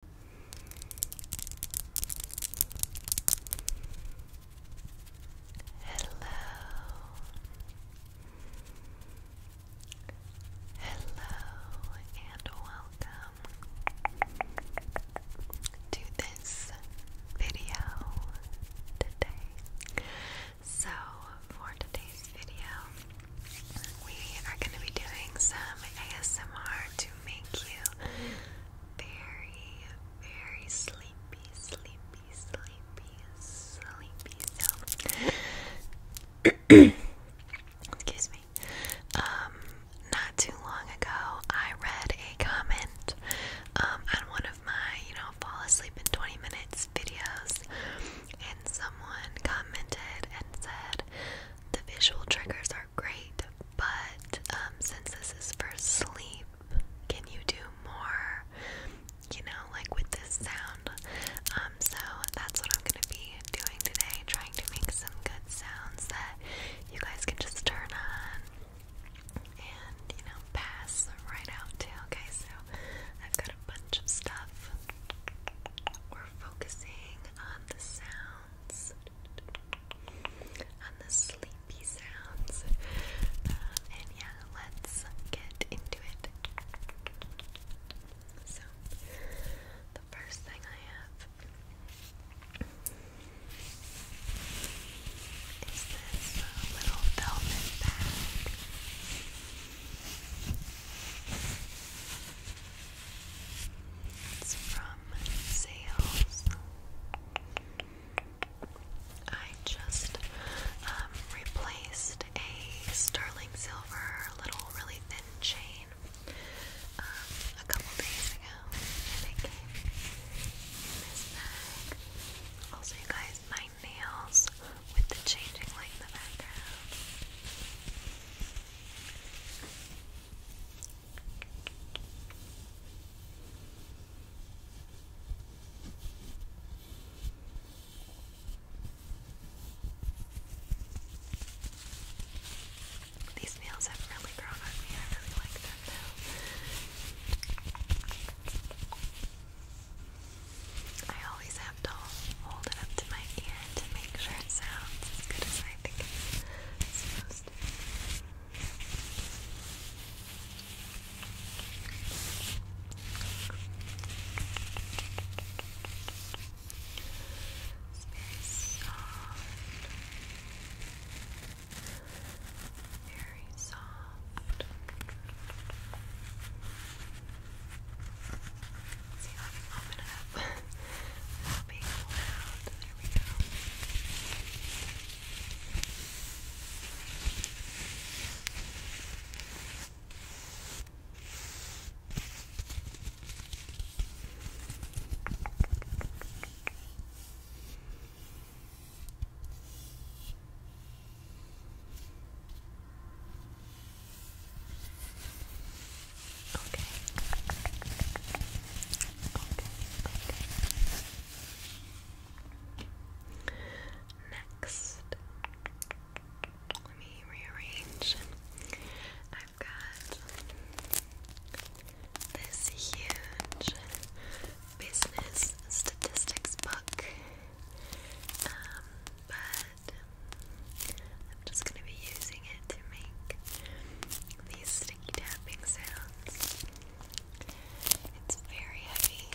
Hello. Hello and welcome to this video today. So, for today's video, we are going to be doing some ASMR to to make you very, very sleepy, sleepy, sleepy, sleepy. excuse me. Um, not too long ago, I read a comment um, on one of my, you know, fall asleep in 20 minutes videos, and someone commented and said, the visual triggers are great, but um, since this is for sleep, can you do more? You know, like with this sound. Um, so that's what I'm gonna be doing today, trying to make some good sounds that you guys can just turn on and you know pass right out to. Okay, so I've got a bunch of stuff. We're focusing on um, the sounds, on the sleepy sounds. Uh, and yeah, let's get into it. So, the first thing I have is this little velvet bag. It's from Sales. I just um, replaced a sterling silver little really thin chain um, a couple days ago, and Also, you guys, my nails with the changing light in the background. These nails have really grown on me. I really like them now. I always have to hold it up to my ear to make sure it sounds as good as I think it's Very soft. Very soft. Let's see if I can open it up. There we go. Okay. Okay. Next, let me rearrange. I've got this huge business statistics book, um, but I'm just going to be using it to make these sticky tapping sounds. It's very heavy.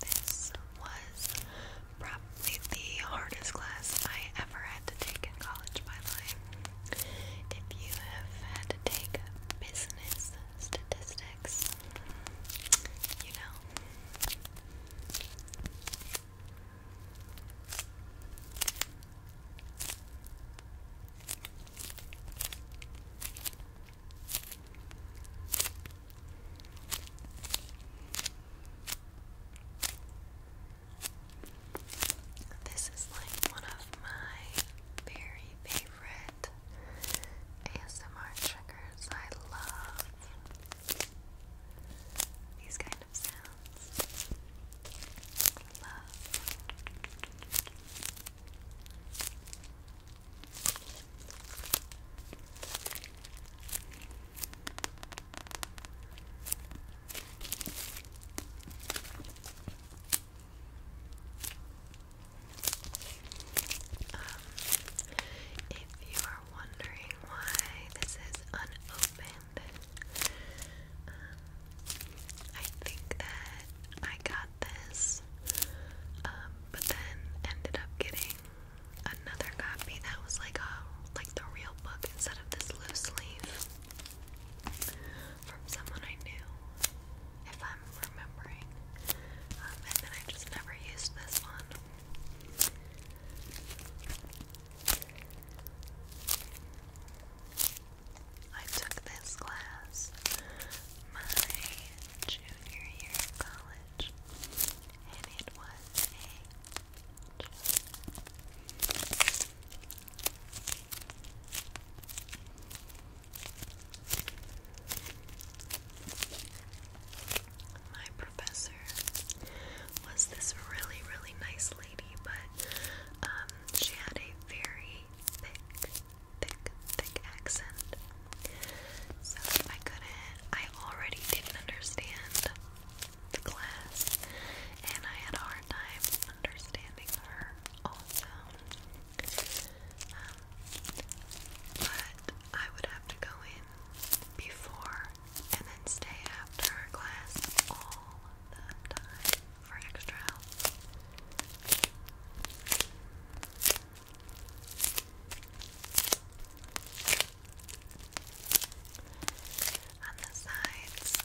This was probably the hardest class I ever had to take in college, by the way. If you have had to take business statistics, you This is like one of my very favorite ASMR triggers. I love these kind of sounds. I love. Um, if you are wondering why this is unopened, um, I think that I got this, um, but then ended up getting another copy that was like a like the real book instead of this loose leaf from someone I knew, if I'm remembering. Um, and then I just never used this one. I took this class my junior year of college, and it was a joke. My professor was this really, really nice lady, but um, she had a very thick, thick, thick accent. So I couldn't, I already didn't understand the class, and I had a hard time understanding her also. Um, but I would have to go in before and then stay after class all the time for extra help. On the sides,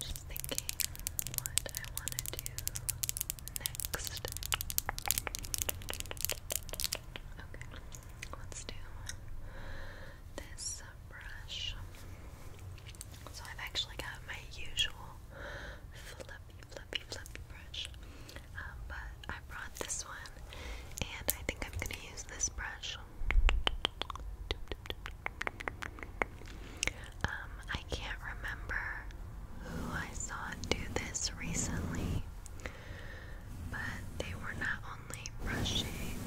Just thinking what I want to do next. Okay, let's do this brush. So I've actually got my usual fluffy, fluffy, fluffy brush, um, but I brought this one and I think I'm gonna use this brush. Um, I can't remember who I saw do this recently, but they were not only brushing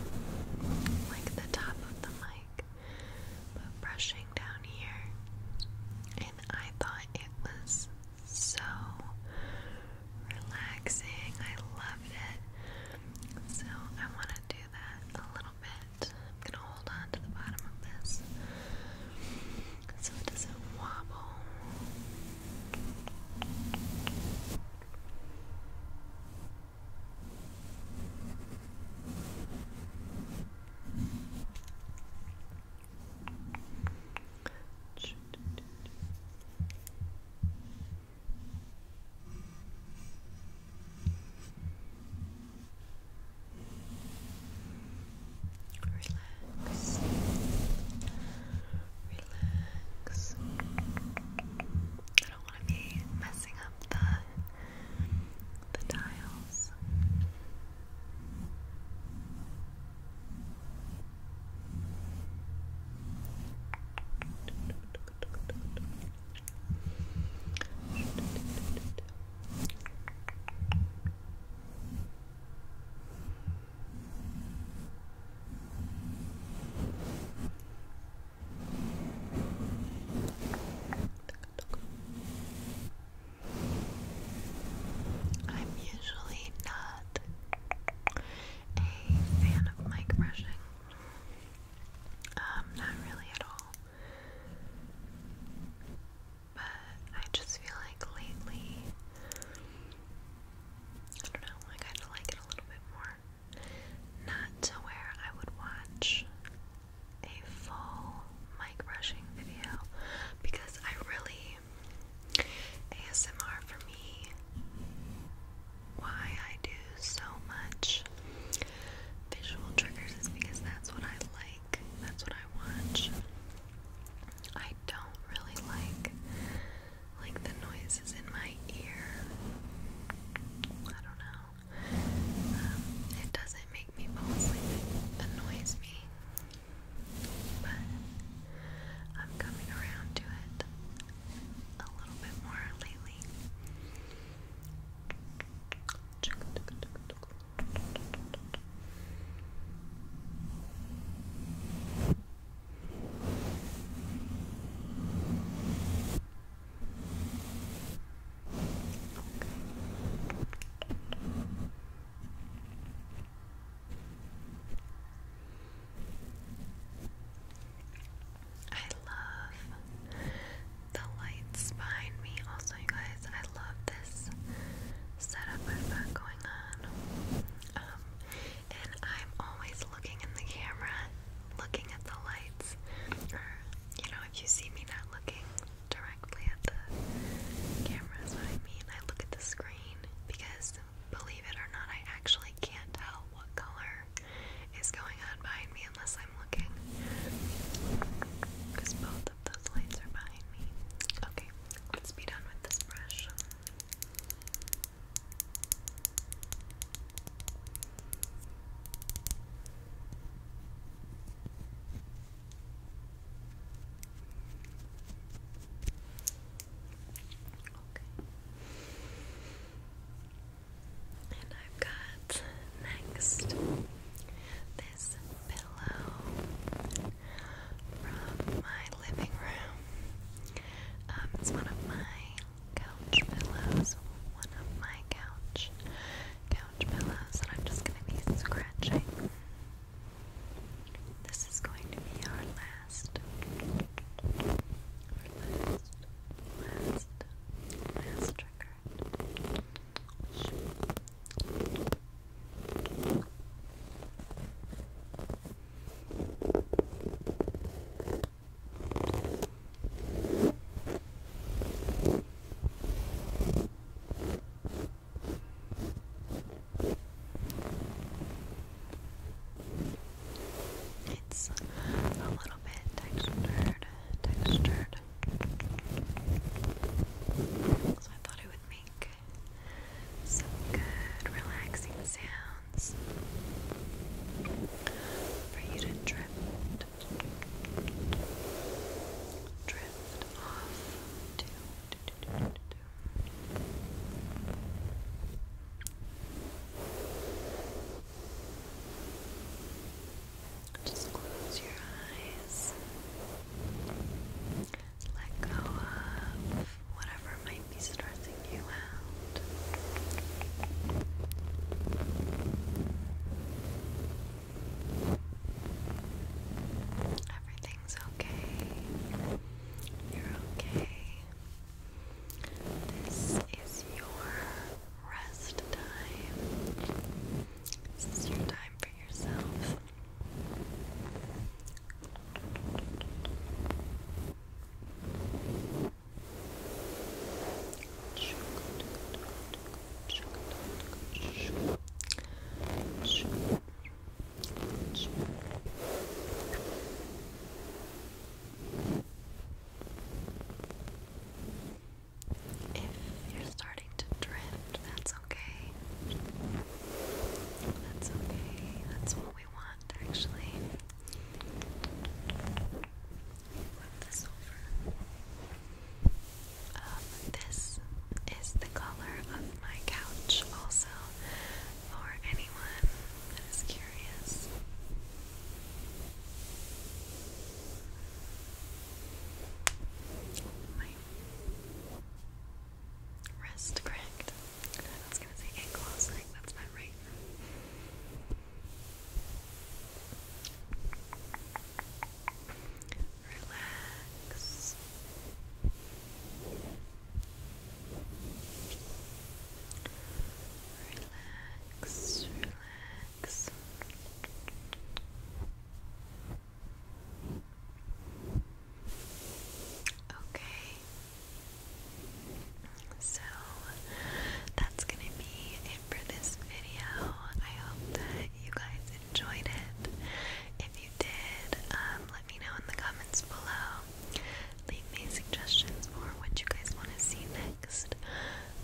like the top of the mic, but brushing down here. And I thought it was so relaxing. I loved it. So I want to do that a little bit. I'm going to hold on to the bottom of this so it doesn't wobble. Relax. Relax. I don't want to be messing up the the dials. I'm usually not a fan of mic brushing. Um, not really at all. But I just feel like lately, I don't know, I kind of like it a little bit more. Not to where I would watch a full mic brushing video because I really ASMR for me, why I do so much visual triggers is because that's what I like, that's what I watch. I don't really like like the noises in my ear. I don't know. Um, it doesn't make me fall asleep. me but I'm coming around to it a little bit more lately. I love the lights behind me. Also, you guys, I love this setup I've got going on. Um, and I'm always looking in the camera, looking at the lights. you know, if you see me not looking, directly at the camera is what I mean. I look at the screen because, believe it or not, I actually can't tell what color is going on behind me unless I'm looking. Because both of those lights are behind me. Okay, let's be done with this brush. Okay, and I've got next this pillow from my living room. Um, it's one of my couch pillows. One of my couch couch pillows, and I'm just gonna be scratching. This is going to be our last, our last, last, last trigger. It's a little bit textured, textured. So I thought it would make some good relaxing sounds for you to drift drift off Just close your eyes. Let go of whatever might be stressing you out. Everything's okay. You're okay. This is your rest time. This your time for yourself. If you're starting to drift, that's okay. That's okay. That's what we want, actually with the um, this is the color of my couch, also, for anyone that is curious. My wrist cracked. I was gonna say ankle, I that's not right. Relax. Relax, relax. Okay. So that's going to be for this video. I hope that you guys enjoyed it. If you did, um, let me know in the comments below. Leave me suggestions for what you guys want to see next.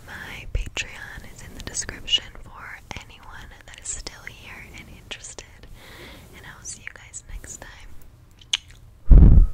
My Patreon is in the description for anyone that is still here and interested. And I will see you guys next time.